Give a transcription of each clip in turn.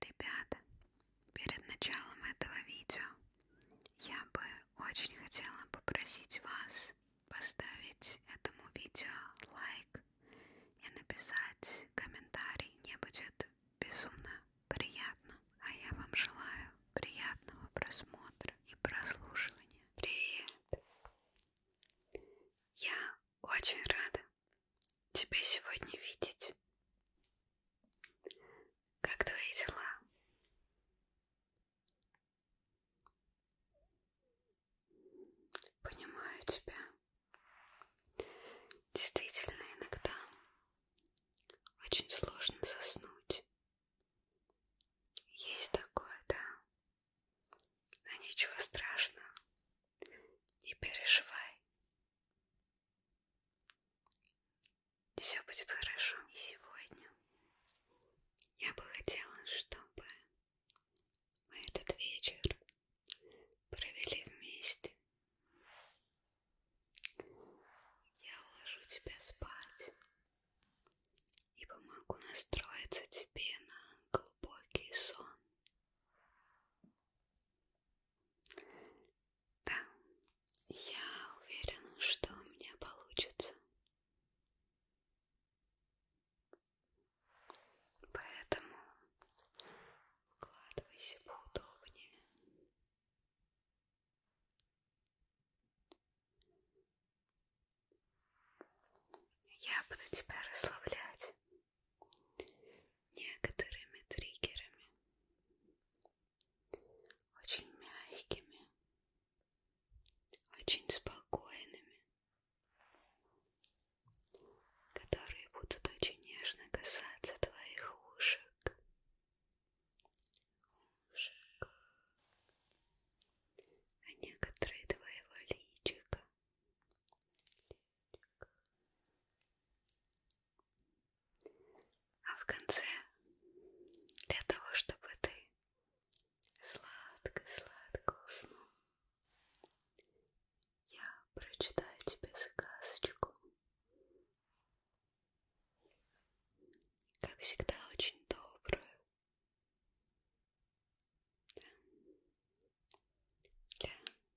Ребята, перед началом этого видео я бы очень хотела попросить вас поставить этому видео лайк и написать комментарий. Мне будет безумно приятно. А я вам желаю приятного просмотра и прослушивания. Привет! Я очень рада, тебя сегодня видеть. Как твои дела? Понимаю тебя. Действительно, иногда очень сложно заснуть. Есть такое, да. Но ничего страшного. Не переживай. Все будет хорошо. И сегодня я бы хотела, чтобы мы этот вечер провели вместе. Я уложу тебя спать и помогу настроиться тебе на глубокий сон. Да, я уверена, что у меня получится. Поэтому укладывайся поудобнее. Я буду тебя расслаблять некоторыми триггерами, очень мягкими, очень спокойными, которые будут очень нежно касаться твоих ушек. Ушек. А некоторые твоего личика, а в конце, для того, чтобы ты сладко-сладко уснул, я прочитаю тебе сказочку. Как всегда, очень добрую для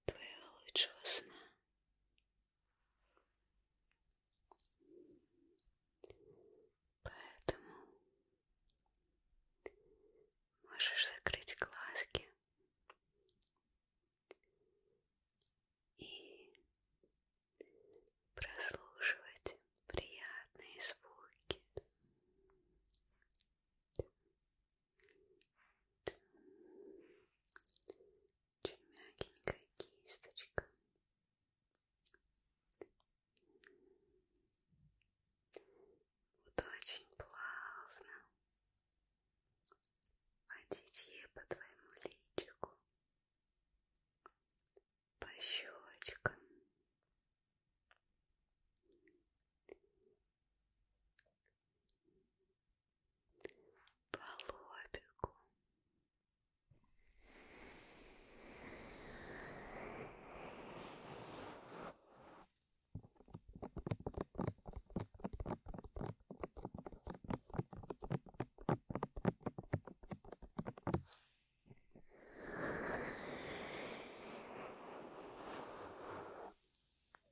твоего лучшего сна. Поэтому можешь закрыть глазки и прослушивать приятные звуки. Очень мягенькая кисточка. Вот очень плавно водить ей по твоему личику, по щечкам по лобику.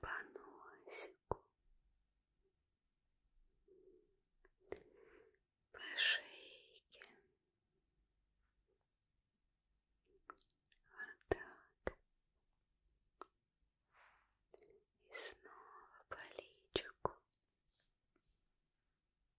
по носику, по шейке, вот так, и снова по личику.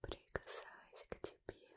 прикасаясь к тебе. Вот.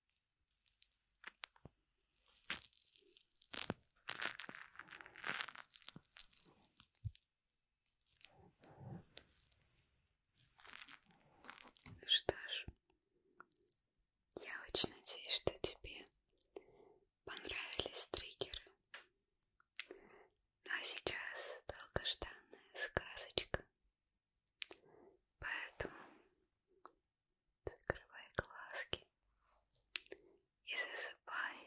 Ну что ж, я очень надеюсь, что тебе понравились триггеры. Ну а сейчас долгожданная сказочка Поэтому закрывай глазки и засыпай.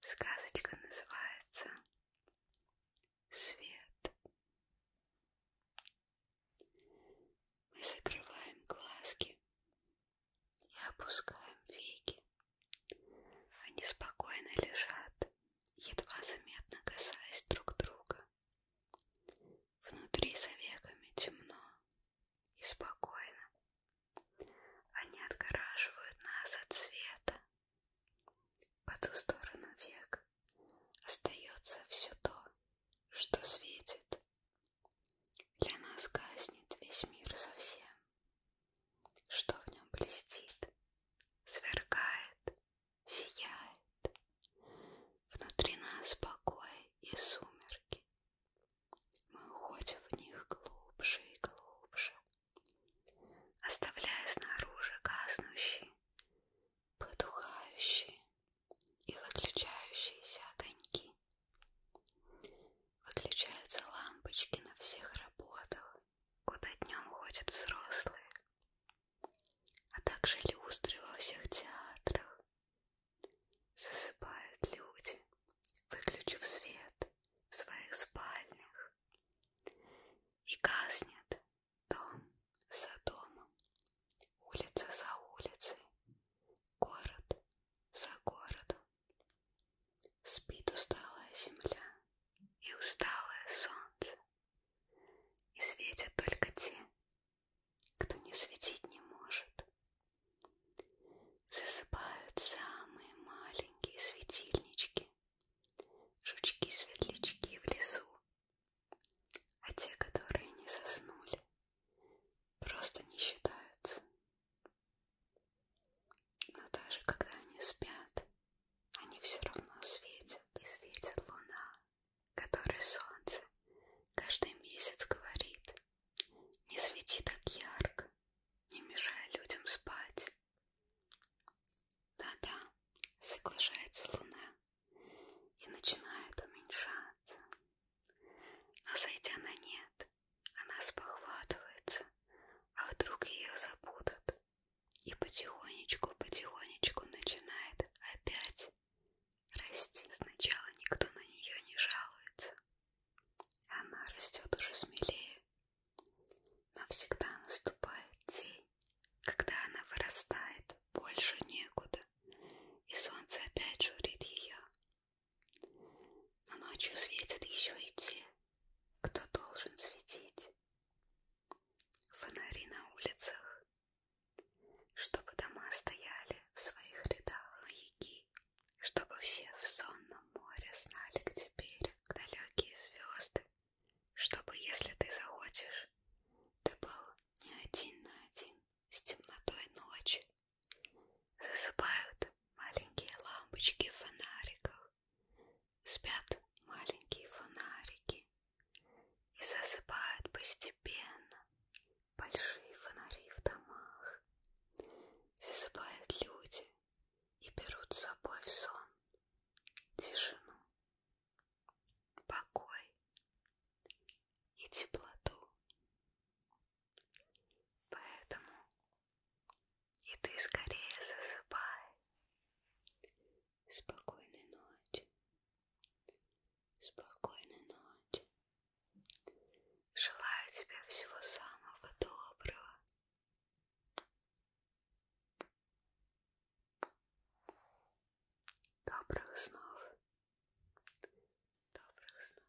Сказочка называется «Свет». Мы закрываем глазки и опускаем веки. Они спокойно лежат, едва заметно касаясь друг друга. Внутри за веками темно и спокойно. Они отгораживают нас от света. По ту сторону век остается все то, что светит. Для нас гаснет весь мир совсем. Что в нем блестит, сверкает, сияет. Внутри нас покой и сумерки. Мы уходим в них глубже и глубже, оставляя снаружи гаснущие, потухающие и выключающиеся огоньки. Выключаются лампочки на всех работах, куда днем ходят взрослые, а также люстры во всех театрах. Засыпают люди, выключив свет в своих спальнях, и гаснет дом за домом, улица за улицей, город за городом. Спит усталая земля и усталое солнце. И светят только те, кто не светить не может. Засыпают самые маленькие светильнички, жучки-светлячки в лесу. А те, которые не заснули, просто не считаются. Но даже когда они спят, они все равно светят, и светит луна, которой солнце каждый месяц говорит, не свети так ярко, не мешай людям спать. Да-да, соглашается луна и начинает уменьшаться, но зайдя на нет, она спохватывается, а вдруг ее забудут, и потихонечку-потихонечку начинает опять расти. Сначала никто на нее не жалуется. Она растет уже смелее. Навсегда наступает день, когда она вырастает больше некуда, и солнце опять журит ее. Но ночью светят еще и те, кто должен светить. Фонари на улицах, чтобы дома стояли в своих рядах маяки, чтобы все в сонном море знали, где берег, далекие звезды, чтобы, если ты захочешь, ты был не один на один с темнотой ночи. Засыпают маленькие лампочки в фонариках, спят маленькие фонарики и засыпают постепенно большие фонари в домах. Засыпают люди и берут с собой в сон тишину, покой и теплоту. Поэтому и ты скорее засыпай, Спокойной ночи. Спокойной ночи. Желаю тебе всего самого доброго. Добрых снов. Добрых снов.